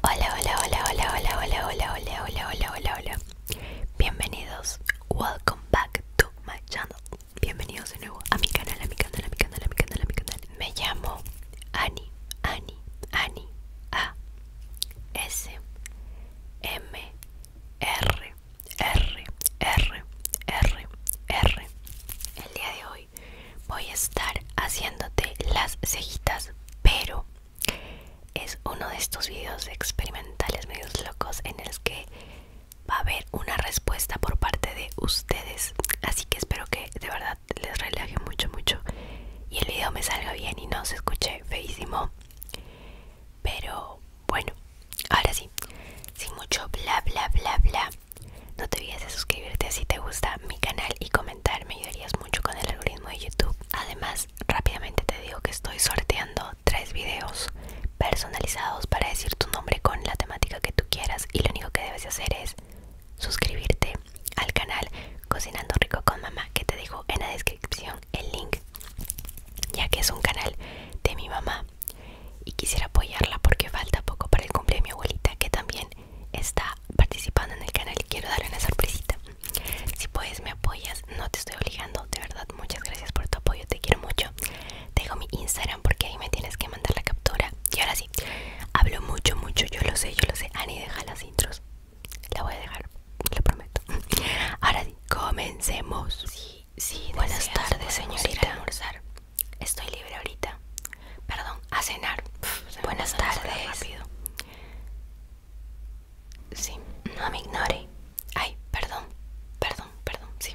Hola, hola, hola, hola, hola, hola, hola, hola, hola, hola, hola, hola. Bienvenidos. Welcome back to my channel. Bienvenidos de nuevo a mi canal, a mi canal, a mi canal, a mi canal, a mi canal. Me llamo Ani, Ani, Ani, A, S, M, R, R, R, R, R. El día de hoy voy a estar haciéndote las cejitas, pero es uno de estos videos experimentales medios locos en el que va a haber una respuesta por parte de ustedes. Así que espero que de verdad les relaje mucho, mucho y el video me salga bien y no se escuche feísimo. Pero bueno, ahora sí, sin mucho bla bla bla bla. No te olvides de suscribirte si te gusta mi canal y comentar me ayudarías mucho con el algoritmo de YouTube además rápidamente te digo que estoy sorteando tres videos personalizados para decir tu nombre con la temática que tú quieras y lo único que debes hacer es suscribirte al canal cocinando rico con mamá que te dejo en la descripción el link ya que es un canal de mi mamá y quisiera apoyarla porque falta poco para el cumple de mi abuelita que también está participando en el canal y quiero darle una sorpresita. Si puedes me apoyas, no te estoy obligando, de verdad, muchas gracias por tu apoyo, te quiero mucho. Te dejo mi Instagram porque ahí me tienes que mandar la captura. Y ahora sí, hablo mucho, mucho, yo lo sé, yo lo sé. Ani, deja las intros. La voy a dejar, lo prometo. Ahora sí, comencemos. Sí, sí, buenas tardes, señorita. Estoy libre ahorita. Perdón, a cenar. Buenas tardes. Sí, no me ignore. Ay, perdón, perdón, perdón, sí.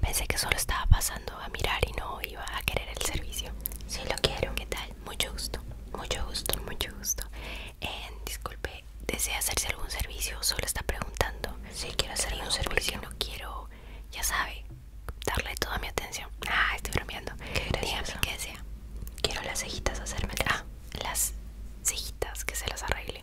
Pensé que solo estaba pasando a mirar y no iba a querer el servicio. Sí, lo quiero. ¿Qué tal? Mucho gusto, mucho gusto, mucho gusto. disculpe, ¿desea hacerse algún servicio? Solo está preguntando. Sí, quiero hacer un servicio. No quiero, ya sabe, darle toda mi atención. Ah, estoy bromeando. qué Quiero las cejitas hacerme. Ah, las cejitas, que se las arregle.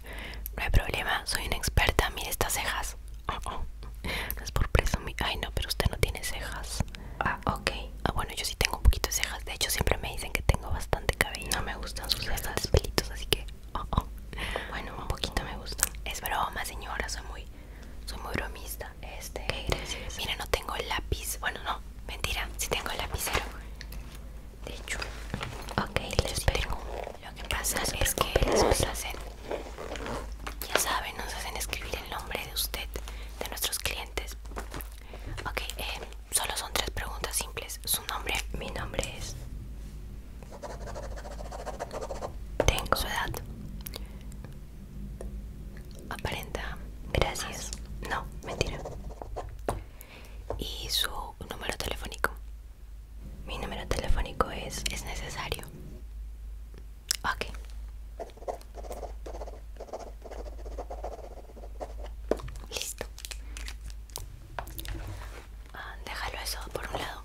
No hay problema, soy una experta. Mire estas cejas. Oh, oh, No es por presumir. Ay, no, pero usted no tiene cejas. Ah, ok. Ah, bueno, yo sí tengo un poquito de cejas. De hecho, siempre me dicen que tengo bastante cabello. No me gustan sus cejas. Bastantes pelitos, así que. Oh, oh. Bueno, un poquito me gustan. Es broma, señora. Soy muy, soy muy bromista. Este. Mira, no tengo el lápiz. Bueno, no, mentira. Sí tengo el lapicero. De hecho. Ok, les pregunto. Lo que pasa es que nos hacen. Ya saben, nos hacen escribir el nombre de usted, de nuestros clientes. Ok, eh, solo son tres preguntas simples. Su nombre, mi nombre es. Tengo su edad aparenta gracias no mentira y su número telefónico mi número telefónico es es necesario ok listo ah, déjalo eso por un lado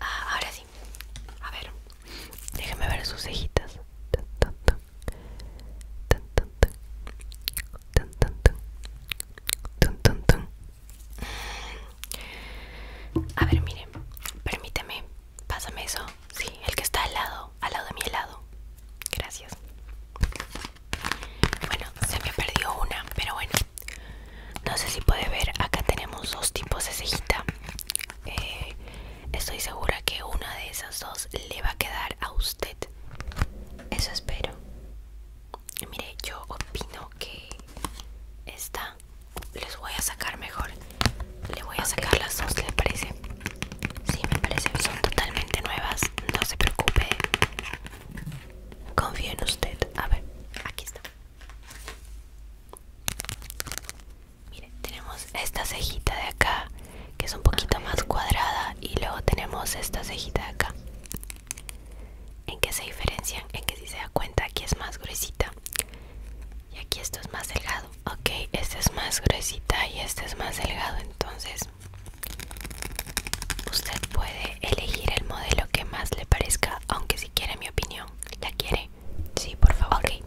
ah, ahora sí a ver, déjeme ver sus cejitas. A ver, miren, permíteme, pásame eso. Sí, el que está al lado, al lado de mi helado. Gracias. Bueno, se me perdió una, pero bueno. No sé si puede ver, acá tenemos dos tipos de cejita. Eh, estoy segura que una de esas dos le va a quedar a usted. Eso espero. Mire, yo opino que esta les voy a sacar mejor. Le voy a sacar las dos, ¿le parece? Sí, me parece. Son totalmente nuevas. No se preocupe. Confío en usted. A ver, aquí está mire, tenemos esta cejita de acá, que es un poquito más cuadrada, y luego tenemos esta cejita de acá. ¿En qué se diferencian? En que si se da cuenta, aquí es más gruesita. Y aquí esto es más delgado. Ok, esta es más gruesita y este es más delgado. Entonces, usted puede elegir el modelo que más le parezca, aunque si quiere mi opinión, la quiere Sí, por favor. Okay.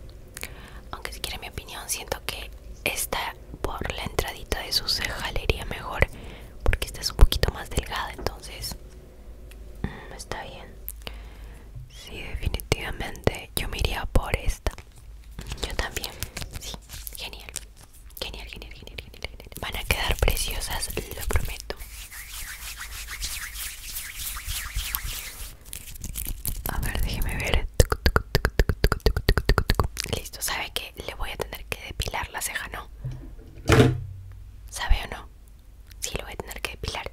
Aunque si quiere mi opinión, siento que esta por la entradita de su ceja le iría mejor. Porque esta es un poquito más delgada, entonces mm, está bien. Sí, definitivamente yo me iría por esta. Yo también. Sí, Genial, genial, genial, genial. genial. Van a quedar preciosas, lo prometo. A ver, déjeme ver. Listo, ¿sabe que le voy a tener que depilar la ceja, no? ¿Sabe o no? Sí, lo voy a tener que depilar.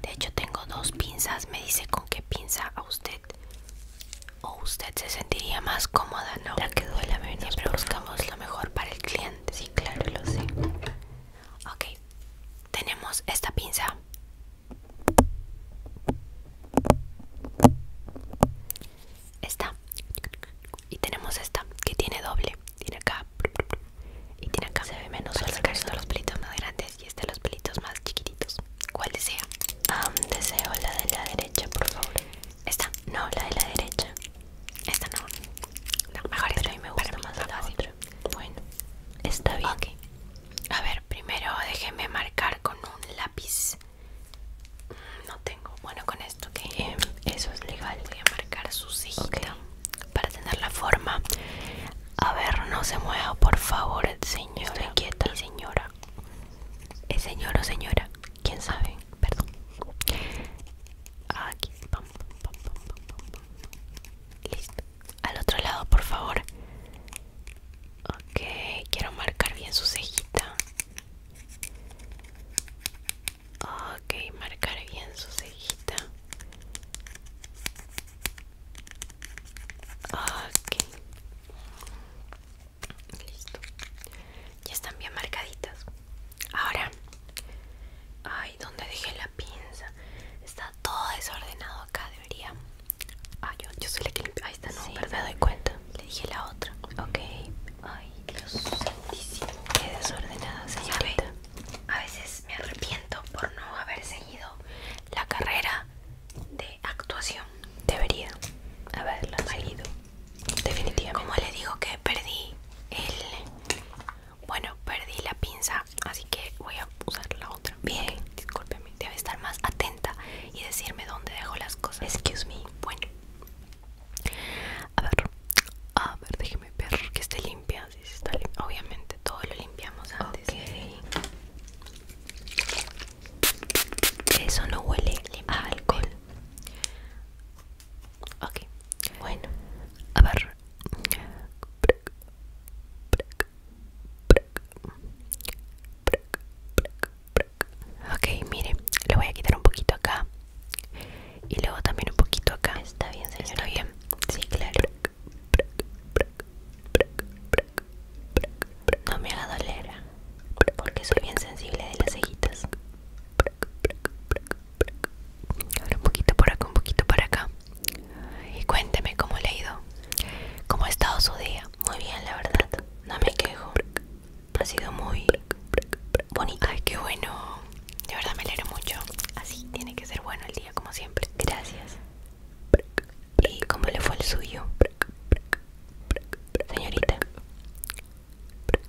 De hecho, tengo dos pinzas. Me dice con qué pinza a usted o usted se sentiría más cómoda, ¿no? La que duela menos. Siempre buscamos lo mejor para el cliente. Sí, claro, lo sé. Ok, tenemos esta pinza. Esta. Y tenemos esta que tiene doble. Tiene acá. Y tiene acá. Se ve menos sacar los pelitos más grandes y este los pelitos más chiquititos. ¿Cuál desea? deseo la de la derecha, por favor. Esta. No, la de la derecha. Esta no. La mejor esta. Pero a mí me gusta más la otra. Bueno, está bien. A ver, primero déjeme marcar con un lápiz. No tengo. Bueno, con esto que eso es legal. Voy a marcar su cejita para tener la forma. A ver, no se mueva, por favor, señor. Estoy quieta, señora. el eh, señor o señora? ¿Quién sabe? Perdón. Aquí. Listo al otro lado, por favor. Ok, quiero marcar bien su cejita. Ok, marcar bien su cejita. Ok. Listo. Ya están bien marcaditas. Ahora. Ay, ¿dónde dejé la pinza? Está todo desordenado acá, debería. Ah, yo, soy la que Ahí está, no, me pero me doy cuenta. Le dije la otra. Ok. Ay, Dios santísimo. Qué desordenada, señorita. A veces me arrepiento por no haber seguido la carrera de actuación. Debería haberla seguido. Definitivamente. Como le digo que perdí el bueno, perdí la pinza, así que voy a usar la otra. Bien, discúlpeme. Debe estar más atenta y decirme dónde dejo las cosas. Excuse me. Bueno, a ver, a ver, déjeme ver que esté limpia. Sí, está limpia. Obviamente, todo lo limpiamos antes. Okay. Eso no huele a alcohol. Ok, bueno, a ver. Ok, mire, le voy a quitar un poquito acá y luego también un poquito acá. Está bien, señora. bien. Sí, claro. No me haga doler, porque soy bien sensible de las cejitas. Ahora un poquito por acá, un poquito por acá y cuénteme cómo le ha ido, cómo ha estado su día. Muy bien, la verdad, no me quejo. Ha sido muy bonito. Ay, qué bueno. De verdad me alegro mucho. Así tiene que ser bueno el día, como siempre. Gracias. ¿Y cómo le fue el suyo? Señorita.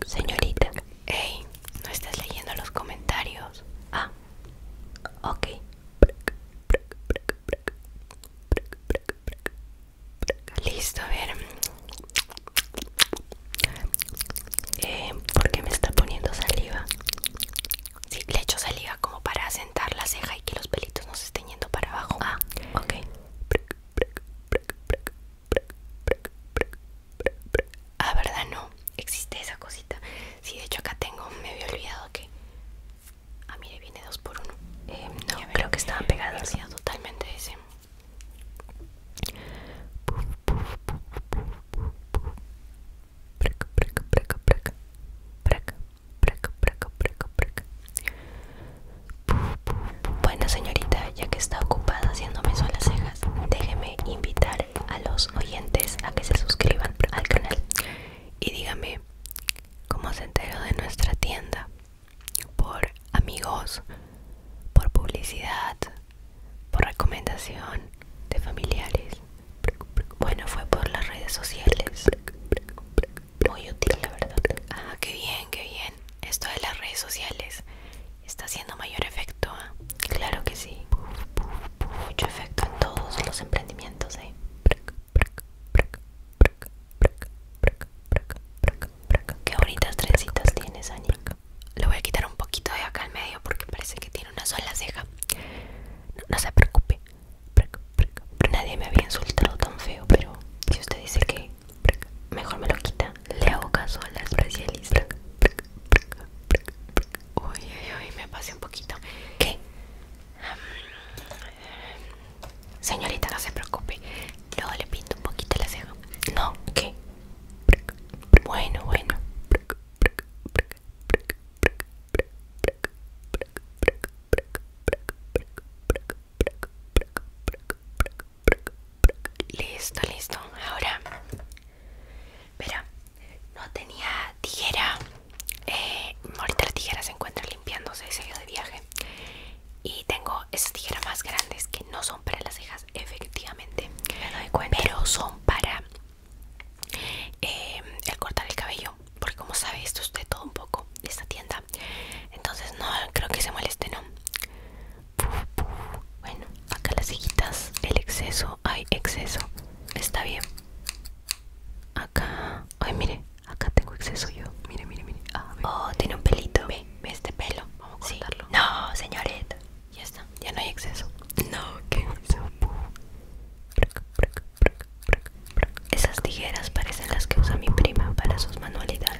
Señorita. Hey, no estás leyendo los comentarios. Ah. Ok. Listo, a ver. ¿Por qué me está poniendo saliva? Sí, le echo saliva como para asentar la ceja y que los pelitos no se estén yendo para abajo. Ah, ok. Ah, verdad no, existe esa cosita. Sí, de hecho acá tengo, me había olvidado que. Ah, mire, viene dos por uno. Eh, no, creo que estaban pegadas. totalmente ese. Bueno señorita, ya que está ocupada haciéndome las cejas, déjeme invitar a los oyentes a que se suscriban al canal y dígame cómo se enteró de nuestra tienda por amigos por publicidad por recomendación de familiares bueno fue por las redes sociales muy útil la verdad ah qué bien qué bien esto de las redes sociales está haciendo mayor efecto Claro que sí. Mucho efecto en todos los emprendimientos, ¿eh? Qué bonitas trencitas tienes, Ani. Le voy a quitar un poquito de acá al medio porque parece que tiene una sola ceja. No, se preocupe. Nadie me había insultado tan feo, pero si usted dice que mejor me lo quita, le hago caso a la especialista. Uy, uy, me pasé un poquito. ¿Qué? Mm, señorita, no se preocupe. Luego le pinto un poquito la ceja. No, ¿qué? Bueno, bueno. Listo, listo. Ahora Mira, no tenía tijera. Eh, ahorita la tijera se encuentra limpiándose, se ido de viaje. Y tengo esas tijeras más grandes que no son para las cejas, efectivamente. Pero son para eh, el cortar el cabello. Porque como sabe, esto es todo un poco, de esta tienda. Entonces no creo que se moleste, ¿no? Bueno, acá las hijitas, el exceso hay exceso está bien acá ay mire acá tengo exceso yo mire mire mire ah, oh tiene un pelito ve ve este pelo vamos a cortarlo no señorita ya está ya no hay exceso no qué esas tijeras parecen las que usa mi prima para sus manualidades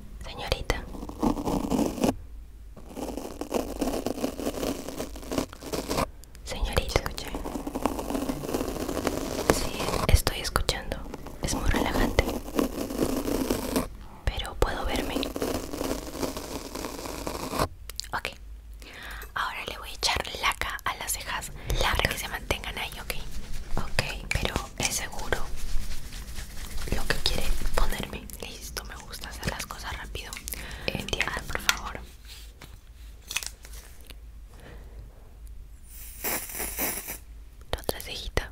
señorita. Señorita, escuché. Sí, estoy escuchando. Es muy relajante. Pero puedo verme. Ok. Ahora le voy a echar laca a las cejas. la Para que se mantengan ahí, ok. Ok, pero es seguro lo que quiere ponerme. Listo, me gusta hacer las cosas rápido. Entienda, ah, por favor. otra cejita.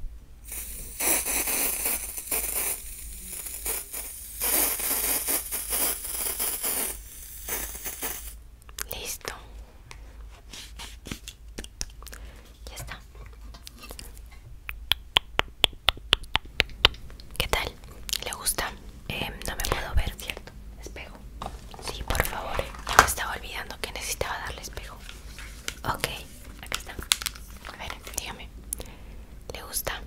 Listo. Ya está. ¿Qué tal? ¿Le gusta? Eh, no me puedo ver, ¿cierto? Espejo. Sí, por favor. Eh. Ya me estaba olvidando que necesitaba darle espejo. Ok, acá está. A ver, dígame. ¿Le gusta?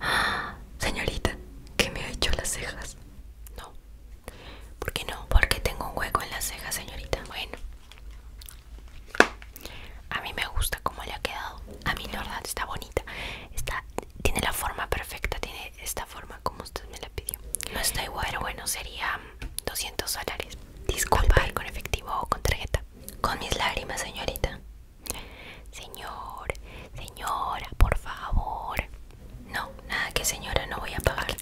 ¡Ah! señorita, ¿qué me ha hecho las cejas? No. ¿Por qué no? Porque tengo un hueco en las cejas, señorita. Bueno, a mí me gusta como le ha quedado. A mí la verdad está bonita. tiene la forma perfecta, tiene esta forma como usted me la pidió. No está igual, bueno, sería 200 dólares. Disculpa, con efectivo o con tarjeta. Con mis lágrimas, señorita. Señor, señora, por favor. No, nada que señora, no voy a pagar.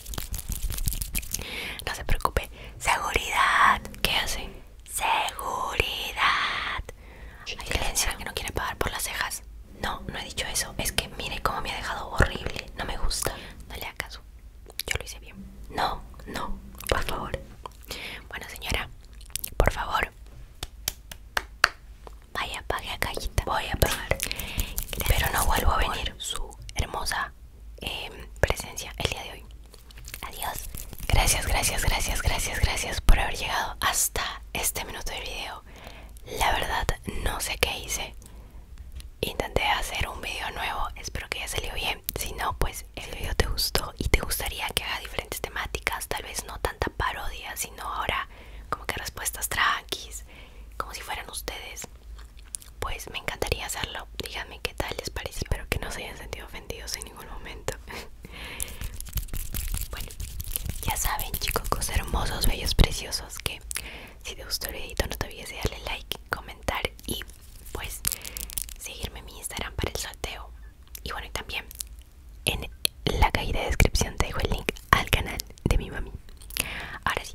No se preocupe, Seguridad. ¿Qué hace? Seguridad. Hay que no quiere pagar por las cejas. No, no he dicho eso. Es que mire cómo me ha dejado horrible. No me gusta. Dale le caso. Yo lo hice bien. No, no, por favor. Bueno, señora, por favor. Vaya, pague a callita. Voy a pagar. Pero no vuelvo a venir. Su hermosa Em, presencia el día de hoy. Adiós. Gracias, gracias, gracias, gracias, gracias por haber llegado hasta este minuto de video. La verdad no sé qué hice. Intenté hacer un video nuevo, espero que ya salió bien. Si no, pues el video te gustó y te gustaría que haga diferentes temáticas, tal vez no tanta parodia, sino ahora como que respuestas tranquis, como si fueran ustedes pues me encantaría hacerlo. Díganme qué tal les parece. Espero que no se hayan sentido ofendidos en ningún momento. bueno, ya saben, chicos, hermosos, bellos, preciosos, que si te gustó el videito no te olvides de darle like, comentar y pues seguirme en mi Instagram para el sorteo. Y bueno, y también en la caída de descripción te dejo el link al canal de mi mami. Ahora sí,